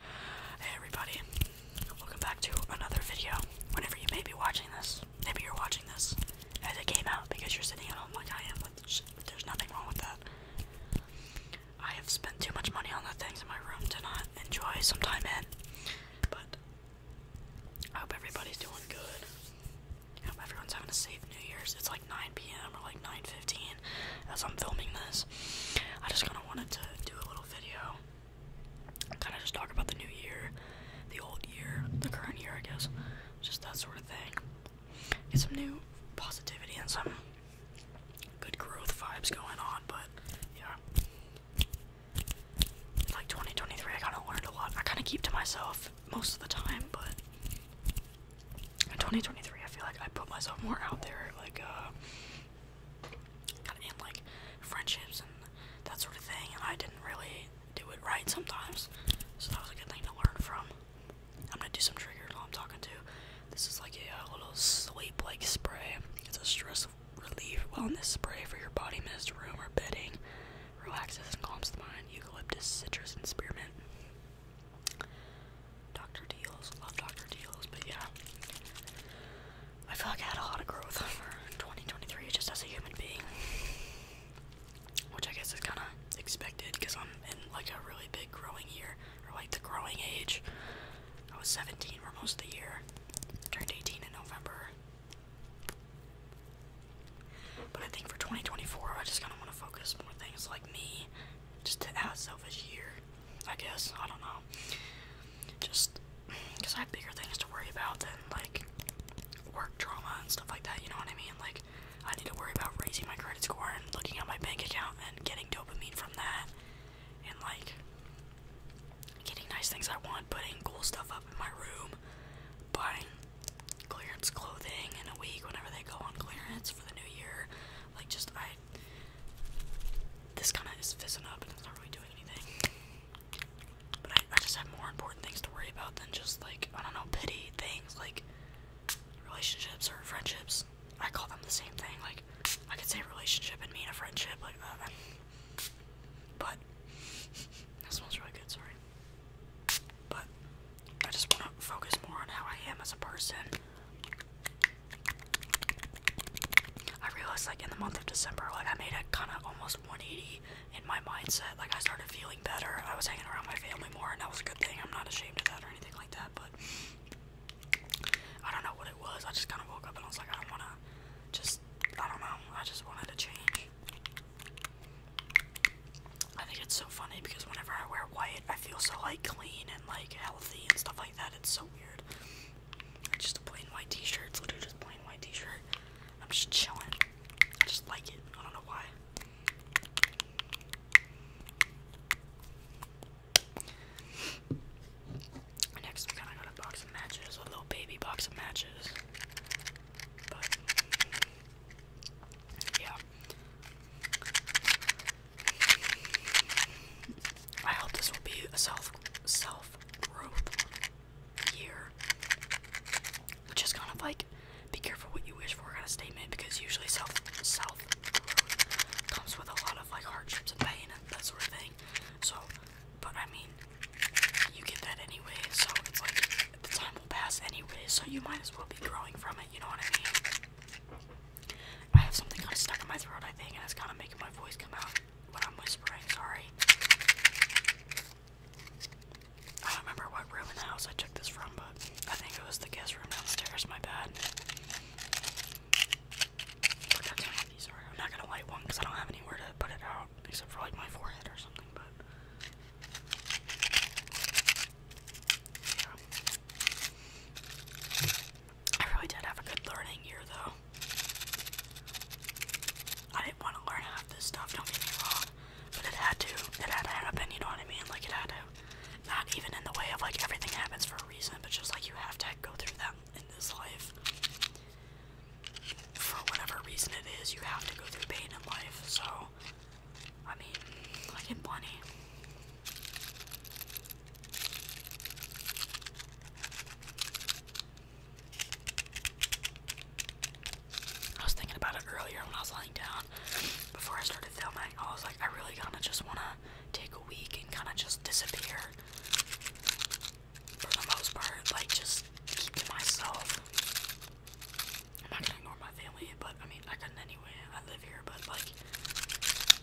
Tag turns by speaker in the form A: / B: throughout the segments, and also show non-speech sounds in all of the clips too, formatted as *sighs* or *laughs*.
A: Hey everybody, welcome back to another video. Whenever you may be watching this, maybe you're watching this as it came out because you're sitting at home like I am, but there's nothing wrong with that. I have spent too much money on the things in my room to not enjoy some time in, but I hope everybody's doing good. I hope everyone's having a safe New Year's. It's like 9 p.m. or like 9.15 as I'm filming this. I just kind of wanted to do a little video, kind of just talk about the new year, the old year, the current year, I guess, just that sort of thing. Get some new positivity and some good growth vibes going on, but yeah. Like 2023, I kind of learned a lot. I kind of keep to myself most of the time, but in 2023, I feel like I put myself more out there, like, uh, kind of in like friendships and that sort of thing, and I didn't really do it right sometimes, so that was a good thing to learn from. I'm gonna do some triggers while I'm talking to. This is like a, uh, little sleep like spray. It's a stress relief wellness spray for your body mist, room, or bedding. Relaxes and calms the mind. Eucalyptus, citrus, and spearmint. Dr. Deals, love Dr. Deals, but yeah. I feel like I had a lot of growth *laughs* for 2023 It just as a human being. Which I guess is kind of expected because I'm in like a really big growing year, or like the growing age. I was 17 for most of the year, turned 18 in November. But I think for 2024, I just kind of want to focus more things like me, just to have a selfish year. I guess. I don't know. Just because I have bigger things to worry about than like work drama and stuff like that, you know what I mean? Like, I need to worry about raising my credit score and looking at my bank account and getting dopamine from that and like getting nice things I want, putting cool stuff up in my room, buying clearance clothing in a week whenever they go on clearance for the new year. Like, just I this kind of is fizzing up and it's not really doing anything. But I, just have more important things to worry about than just like, I don't know, pity things like relationships or friendships. I call them the same thing. Like, I could say relationship and mean a friendship. Uh, but that smells really good, sorry. But I just want to focus more on how I am as a person I realized like in the month of December, like I made it kind of almost 180 in my mindset. Like I started feeling better. I was hanging around my family more, and that was a good thing. I'm not ashamed of that or anything like that. But I don't know what it was. I just kind of woke up and I was like, I don't wanna. Just I don't know. I just wanted to change. I think it's so funny because whenever I wear white, I feel so like clean and like healthy and stuff like that. It's so weird. Just a plain white t-shirt. It's literally just plain white t-shirt. I'm just chilling. I just like it. I don't know why. Next, we got a box of matches, a little baby box of matches. But yeah, I hope this will be a self self growth year. Just kind of like be careful what you wish for kind of statement because usually self self growth comes with a lot of like hardships and pain and that sort of thing. So, but I mean, you get that anyway. So it's like the time will pass anyway. So you might as well be growing from it. You know what I mean? I have something kind of stuck in my throat, I think, and it's kind of making my voice come out But I'm whispering. Sorry. I don't remember what room in the house I took this from, but I think it was the guest room downstairs. My bad. I'm not gonna light one because I don't have anywhere to put it out except for like my forehead or something. But I really did have a good learning year though. I didn't want to learn half this stuff, don't get me wrong. But it had to. It had to happen, you know what I mean? Like it had to. Not even in the way of like everything happens for a reason, but just like you have to go through that in this life. For whatever reason it is, you have to go through pain in life, so I mean, like in Bonnie. I was thinking about it earlier when I was lying down before I started filming. I was like, I really kind of just want to take a week and kind of just disappear for the most part, like just keep myself. I'm not gonna ignore my family, but I mean, I couldn't anyway. I live here, but like,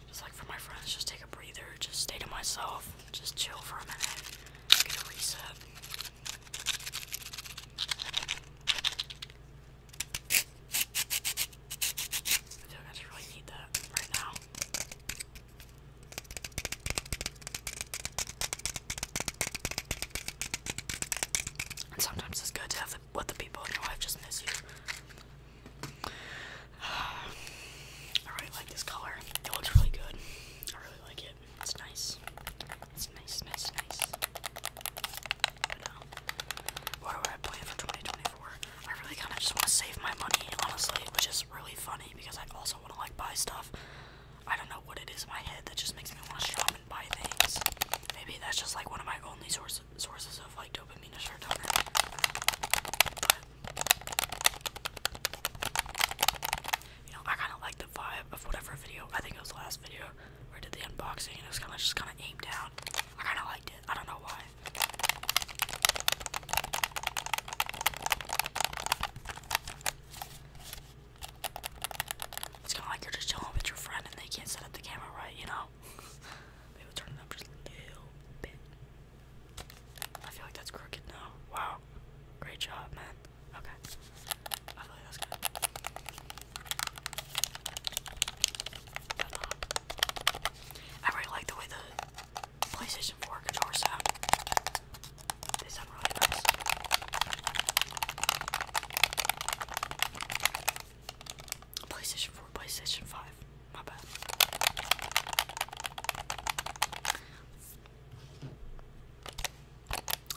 A: just like for my friends, just take a breather, just stay to myself, just chill for a minute, get a reset. I feel like I really need that right now. sometimes it's good to have what the people in your life just miss you. *sighs* I really like this color. It looks really good. I really like it. It's nice. It's nice, nice, nice. what do I plan for 2024? I really kind of just want to save my money, honestly, which is really funny because I also want to like buy stuff. I don't know what it is in my head that just makes me want to shop Maybe that's just like one of my only sources of like dopamine is Turner. But, you know, I kind of like the vibe of whatever video. I think it was the last video where I did the unboxing it was kind of just kind of aimed down. I kind of liked it. I don't know why. It's kind of like you're just chilling with your friend and they can't set up the camera right, you know? *laughs* we'll turn it up just a little bit. I feel like that's crooked now. Wow. Great job, man. Okay. I really like the way the PlayStation 4 controllers sound. They sound really nice. PlayStation 4, PlayStation 5. My bad.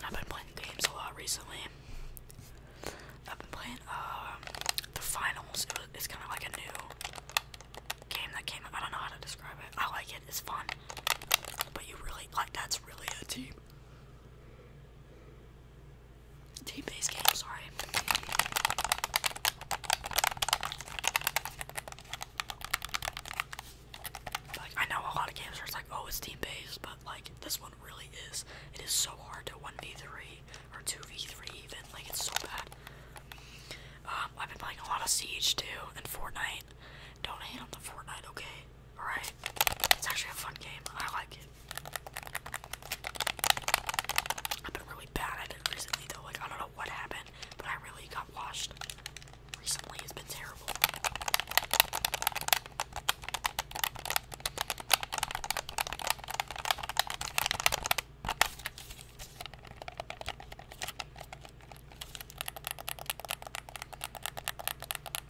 A: I've been playing games a lot recently. I've been playing um, the finals. it's kind of like a new game that came I don't know how to describe it. I like it. It's fun. But you really like that's really a team. Team-based game, sorry. Like, I know a lot of games are like, oh, it's team-based, but, like, this one really is. It is so hard to 1v3 or 2v3 even. Like, it's so bad. Um, I've been playing a lot of Siege, too, and Fortnite. Don't hate on the Fortnite, okay? Alright? It's actually a fun game. I like it. I've been really bad at it recently though. Like, I don't know what happened, but I really got washed. Recently, it's been terrible.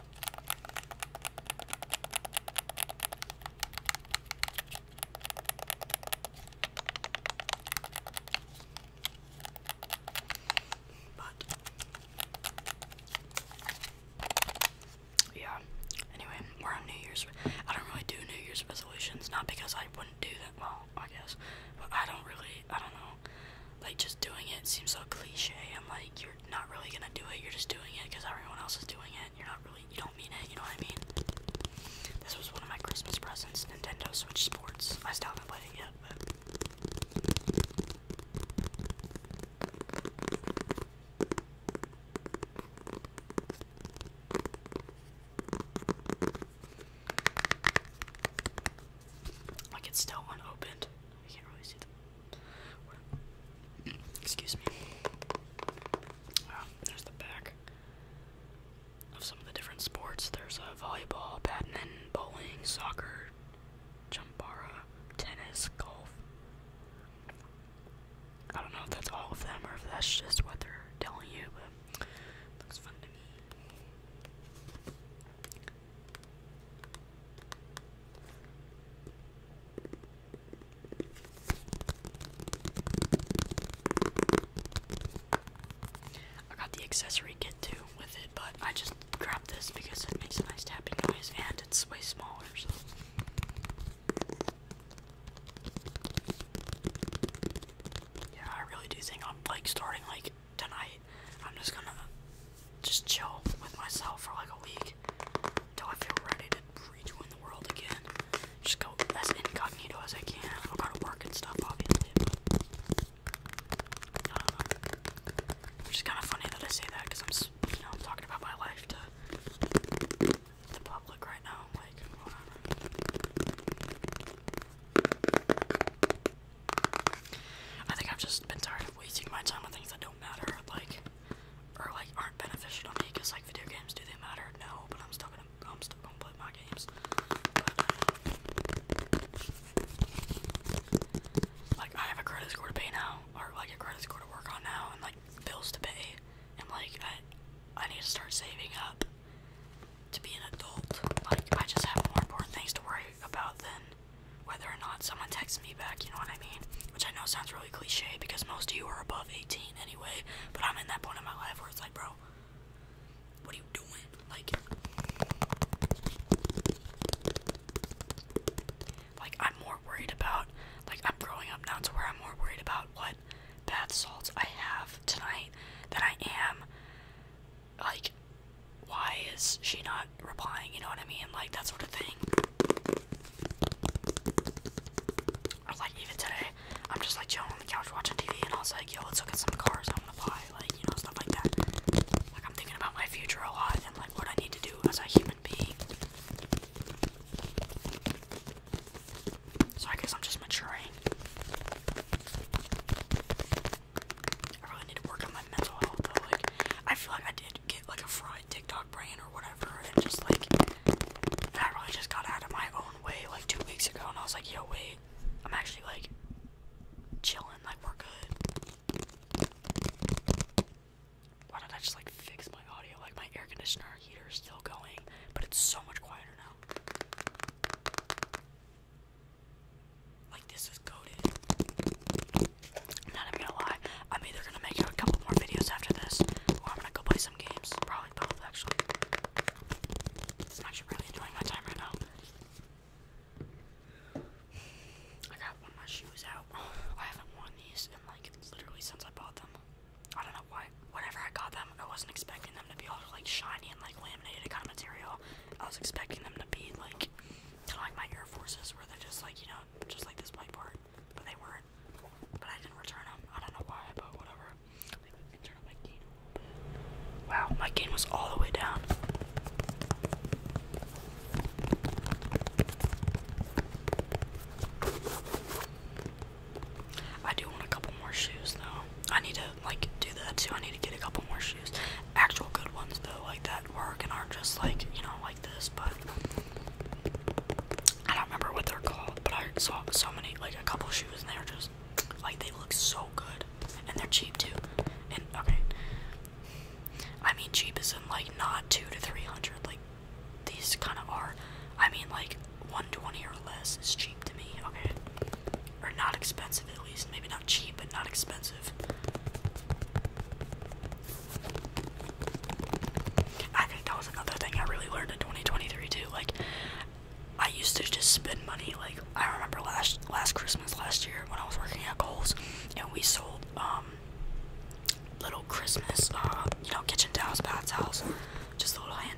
A: But yeah. Anyway, we're on New Year's. I don't really do New Year's resolutions, not because I wouldn't do that. Well, I guess, but I don't really. I don't know. Like just doing it seems so cliche I'm like you're not really gonna do it. You're just doing it because everyone else is doing it. You're not really, you don't mean it. You know what I mean? This was one of my Christmas presents, Nintendo Switch Sports. I still haven't played it yet, but. Like it's still unopened. I can't really see them. Excuse me. Oh, there's the back of some of the different sports. There's uh, volleyball, badminton, bowling, soccer, jumbara, tennis, golf. I don't know if that's all of them or if that's just what they're telling you, but looks fun to me. I got the accessory kit too with it, but I just grabbed this because it makes a nice tapping noise and it's way smaller, so. Yeah, I really do think I'm like starting like tonight I'm just gonna just chill with myself for like a week until I feel ready to rejoin the world again. Just go as incognito as I can. I'll go to work and stuff, obviously. But I kind of funny that I say that because I'm, you know, I'm talking about my life to the public right now. Like, I think I've just been tired of wasting my time on things that don't matter, like, or like aren't beneficial to me. Cause like video games, do they matter? No, but I'm still gonna, I'm still gonna play my games. But, like I have a credit score to pay now, or like a credit score to work on now, and like bills to pay, and like I, I need to start saving up to be an adult. Like I just have more important things to worry about then, whether or not someone texts me back, you know what I mean? Which I know sounds really cliche because most of you are above 18 anyway, but I'm in that point in my life where it's like, bro, what are you doing? Like, like I'm more worried about, like I'm growing up now to where I'm more worried about what bath salts I have tonight than I am like why is she not replying you know what i mean like that sort of thing like even today i'm just like chilling on the couch watching tv and i was like yo let's look at some cars i want to buy like you know stuff like that like i'm thinking about my future a lot and like what i need to do as a human being so i guess i'm just maturing I really need to work on my mental health though. Like, I feel like I did get like a fried TikTok brain or whatever, and just like, I really just got out of my own way like two weeks ago, and I was like, yo, wait, I'm actually like chilling, like, we're good. Why did I just like fix my audio? Like, my air conditioner heater is still going, but it's so much quieter now. Like this was goaded. I'm not gonna lie. I'm either gonna make a couple more videos after this, or I'm gonna go play some games. Probably both, actually. I'm actually really enjoying my time right now. I got one of my shoes out. I haven't worn these in like literally since I bought them. I don't know why. Whenever I got them, I wasn't expecting them to be all like shiny and like laminated kind of material. I was expecting them to be like kind of like my Air Forces where they're just like, you know, just like this white part. But they weren't. But I didn't return them. I don't know why, but whatever. my gain Wow, my gain was all the way down. I do want a couple more shoes though. I need to like do that too. I need to get a couple more shoes, actual good ones though, like that work and aren't just like you know like this. But I don't remember what they're called, but I saw so many like a couple shoes and they are just like they look so good and they're cheap too. And okay, I mean cheap is in like not two to three hundred like these kind of are. I mean like 120 or less is cheap to me. Okay. Or not expensive at least. Maybe not cheap, but not expensive. I think that was another thing I really learned in 2023 too. Like, I used to just spend money. Like, I remember last last Christmas last year when I was working at Kohl's, and we sold um little Christmas, uh, you know, kitchen towels, bath towels, just the little hand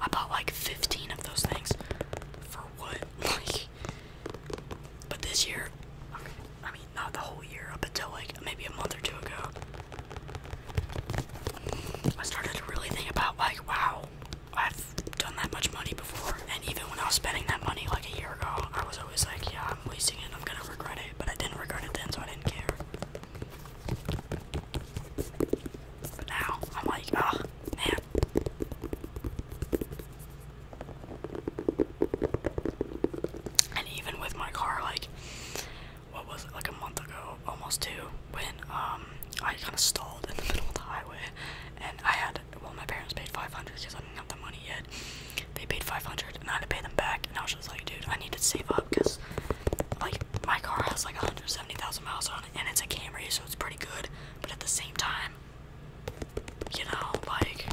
A: I bought like 15 of those things. For what? *laughs* Like, but this year, I mean, not the whole year, up until like maybe a month or two ago, I started to really think about like, wow, I've done that much money before. And even when I was spending that money like a year ago, I was always like, yeah, I'm wasting it, I'm gonna regret it. But I didn't regret it then, so I didn't care. But now I'm like, oh man. And even with my car, like, what was it, like a month ago, almost two, when um I kind of stalled in the *laughs* middle of the highway, and I had well, my parents paid 500 because I didn't have the money yet. They paid 500, and I had to pay them back, and I was just like, dude, I need to save up because, like, my car has like 170,000 miles on it and it's a Camry, so it's pretty good. But at the same time, you know, like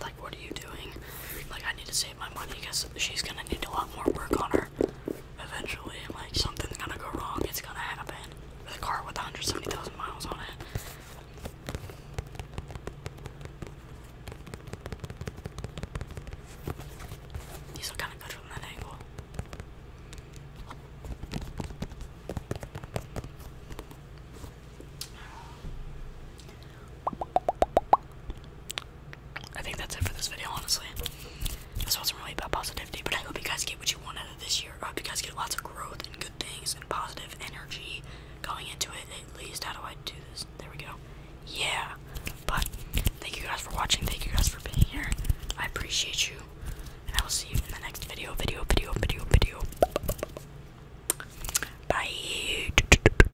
A: like what are you doing like i need to save my money because she's gonna need a lot more work on her eventually. Like, something's gonna go wrong, it's gonna happen. With a car with 170,000 miles on it. These look kind of good from that angle. I think that's it for this video, honestly. This wasn't really about positivity, but I hope you guys get what you want out of this year. I hope you guys get lots of growth and good things and positive energy going into it, at least. How do I do this? There we go. Yeah. But thank you guys for watching. Thank you guys for being here. I appreciate you. And I will see you in the next video, video, video, video, video. Bye.